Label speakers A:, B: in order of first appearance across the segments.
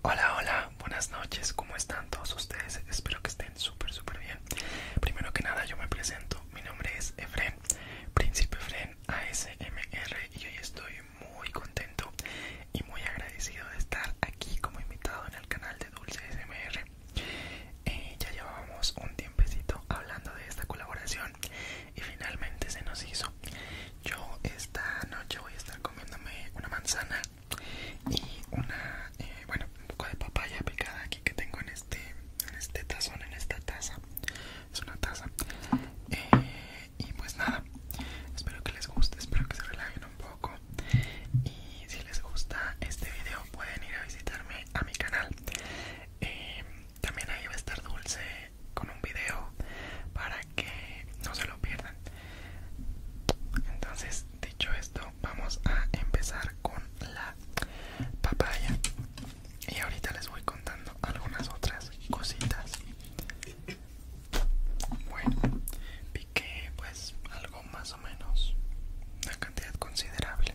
A: Hola, hola, buenas noches, ¿cómo están todos ustedes? Espero que estén súper, súper bien. Primero que nada, yo me presento, mi nombre es Efren, Príncipe Efren ASMR, y hoy estoy muy contento y muy agradecido de estar aquí como invitado en el canal de Dulce ASMR. Eh, ya llevábamos un tiempecito hablando de esta colaboración y finalmente se nos hizo. Yo esta noche voy a estar comiéndome una manzana y una eh, bueno un poco de papaya picada aquí que tengo en este en este tazón en esta taza es una taza eh, y pues nada espero que les guste espero que se relajen un poco y si les gusta este video pueden ir a visitarme a mi canal eh, también ahí va a estar dulce con un video para que no se lo pierdan entonces dicho esto vamos a empezar con la papaya y ahorita les voy contando algunas otras cositas bueno piqué pues algo más o menos una cantidad considerable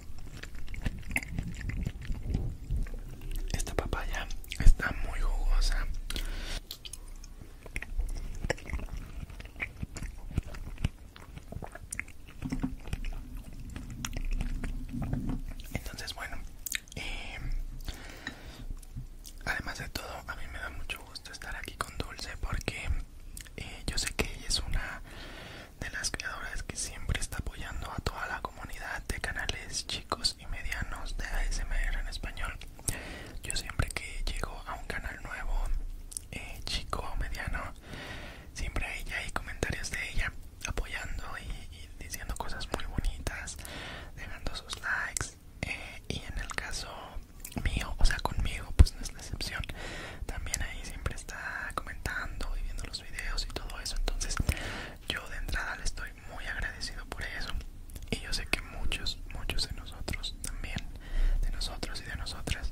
A: Esta papaya está muy jugosa. Entonces, bueno, eh, además de todo, a mí me da mucho gusto estar aquí con Dulce porque eh, yo sé que ella es una de las creadoras que siempre está apoyando a toda la comunidad de canales chicos y medianos de ASMR en español. Yo siempre que llego a un canal nuevo, eh, chico o mediano, siempre hay, hay comentarios de ella apoyando y, diciendo cosas muy bonitas, dejando sus likes. Eh, y en el caso mío, o sea, conmigo, pues no decepción también ahí siempre está comentando y viendo los videos y todo eso entonces yo de entrada le estoy muy agradecido por eso y yo sé que muchos muchos de nosotros también de nosotros y de nosotras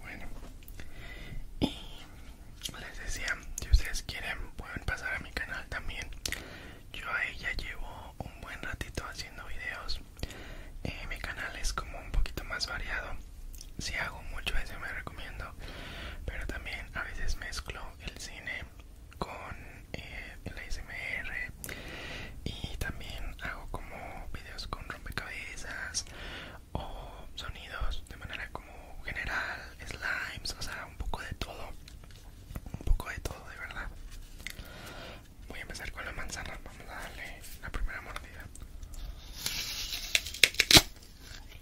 A: Bueno, y les decía, si ustedes quieren pueden pasar a mi canal también. Yo a ella llevo un buen ratito haciendo videos. Eh, mi canal es como un poquito más variado. Si hago mucho eso me recomiendo, pero también a veces mezclo el cine con la eh, el y también hago como videos con rompecabezas o sonidos de manera como general, slimes, o sea, un poco de todo, un poco de todo de verdad. Voy a empezar con la manzana, vamos a darle la primera mordida.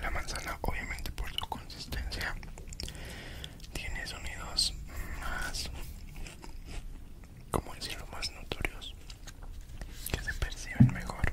A: La manzana obviamente por su consistencia tiene sonidos más, como decirlo, más notorios que se perciben mejor.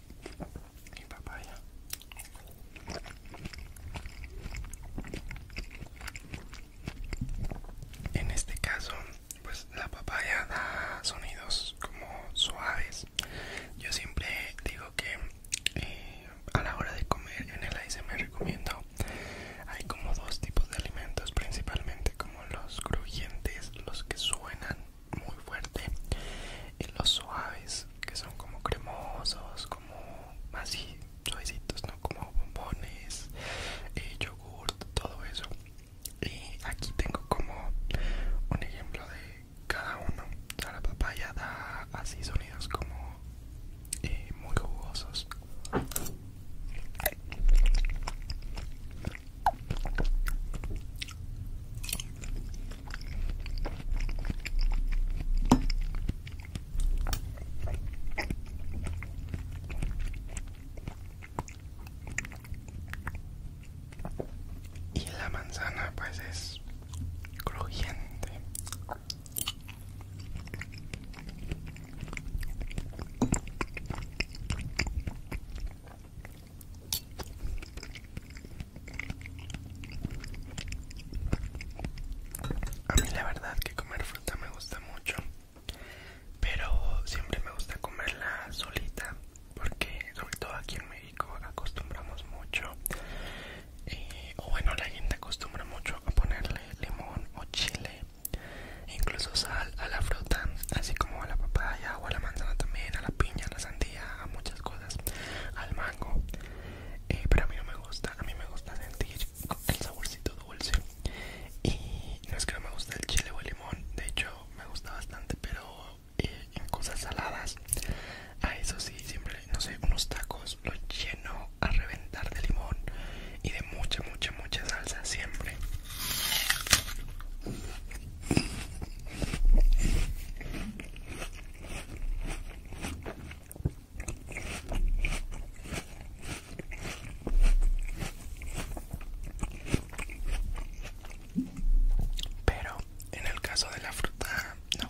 A: y papaya. En este caso, pues la papaya da sonidos como suaves. Yo siempre digo que eh, a la hora de comer en el AIS recomiendo hay como dos tipos de alimentos principalmente como los crujientes, los que suenan muy fuerte y los suaves que son como cremosos como así suavecitos no como bombones y eh, yogurt todo eso y aquí tengo como un ejemplo de cada uno o papaya da así sonidos como eh, muy jugosos y la manzana pues es crujiente. A mí la verdad que comer fruta me gusta mucho, pero siempre me gusta comerla solita, porque sobre todo aquí en México acostumbramos mucho, eh, o bueno la gente acostumbra mucho a ponerle limón o chile, incluso sal a la fruta, así como a la papaya o a la manzana también, a la piña, a la sandía, muchas cosas al mango eh, pero a mí no me gusta a mí me gusta sentir el saborcito dulce y no es que no me guste el chile o el limón de hecho me gusta bastante pero eh, en cosas saladas a eso sí siempre no sé unos tacos los lleno a reventar de limón y de mucha mucha mucha salsa siempre pero en el caso de la fruta, no.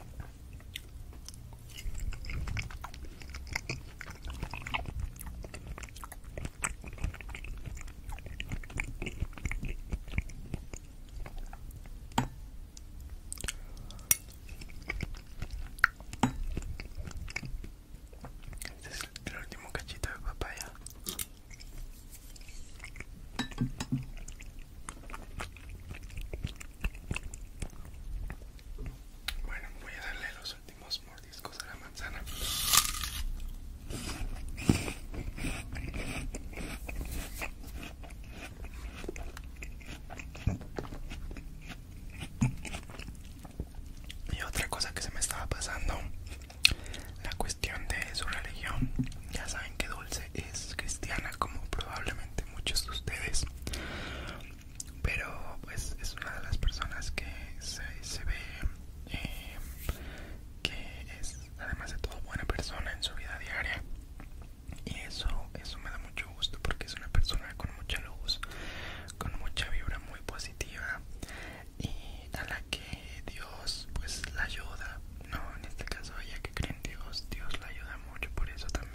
A: Este es el último cachito de papaya. Bueno, voy a darle los últimos mordiscos a la manzana. Y otra cosa que se me estaba pasando, la cuestión de su religión. Ya saben que Dulce es cristiana como probablemente muchos de ustedes pero pues es una de las personas que se, ve eh, que es además de todo buena persona en su vida diaria y eso eso me da mucho gusto porque es una persona con mucha luz con mucha vibra muy positiva y a la que Dios pues la ayuda no en este caso ella que cree Dios, Dios la ayuda mucho por eso también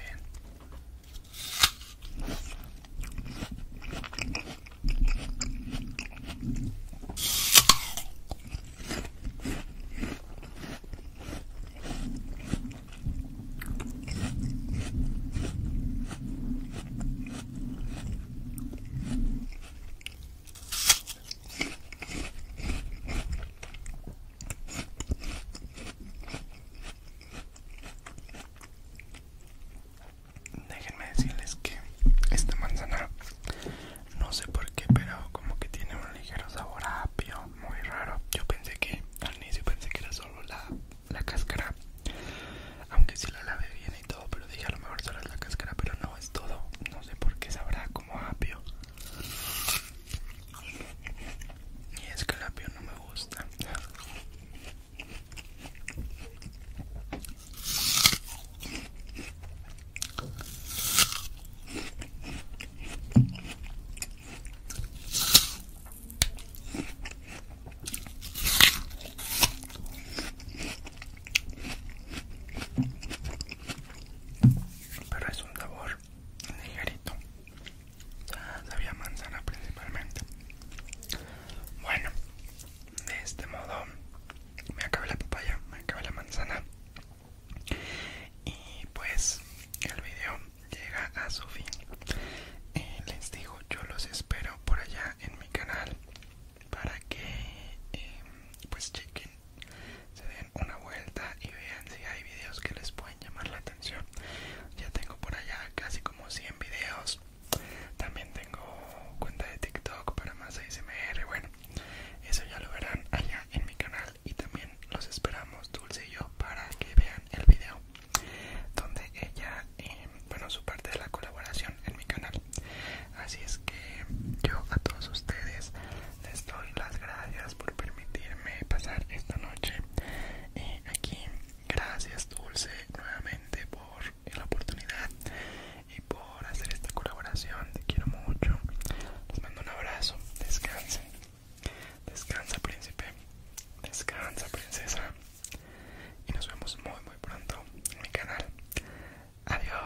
A: Déjenme decirles que esta manzana no sé por qué, pero como que tiene un ligero sabor a apio, muy raro. Yo pensé que al inicio pensé que era solo la, cáscara, aunque si la lavé bien y todo, pero dije a lo mejor solo es la cáscara, pero no es todo. No sé por qué sabrá como apio. Y es que el apio no me gusta. Pero es un sabor ligerito ya sabía manzana principalmente bueno de este modo me acabé la papaya me acabé la manzana y pues el video llega a su fin les digo yo los espero por allá en mi canal para que em, pues chequen se una vuelta y vean si hay videos que les pueden llamar la atención. Ya tengo por allá casi como 100 videos. También tengo cuenta de TikTok para más ASMR. Bueno, eso ya lo verán allá en mi canal. Y también los esperamos, Dulce y yo, para que vean el video donde ella, em, bueno, su parte de la colaboración en mi canal. Así es que yo a todos ustedes les doy las gracias por permitirme pasar esta noche eh, aquí. Gracias Dulce nuevamente por la oportunidad y por hacer esta colaboración. Te quiero mucho. Les mando un abrazo. Descanse. Descansa príncipe. Descansa princesa. Y nos vemos muy muy pronto en mi canal. Adiós.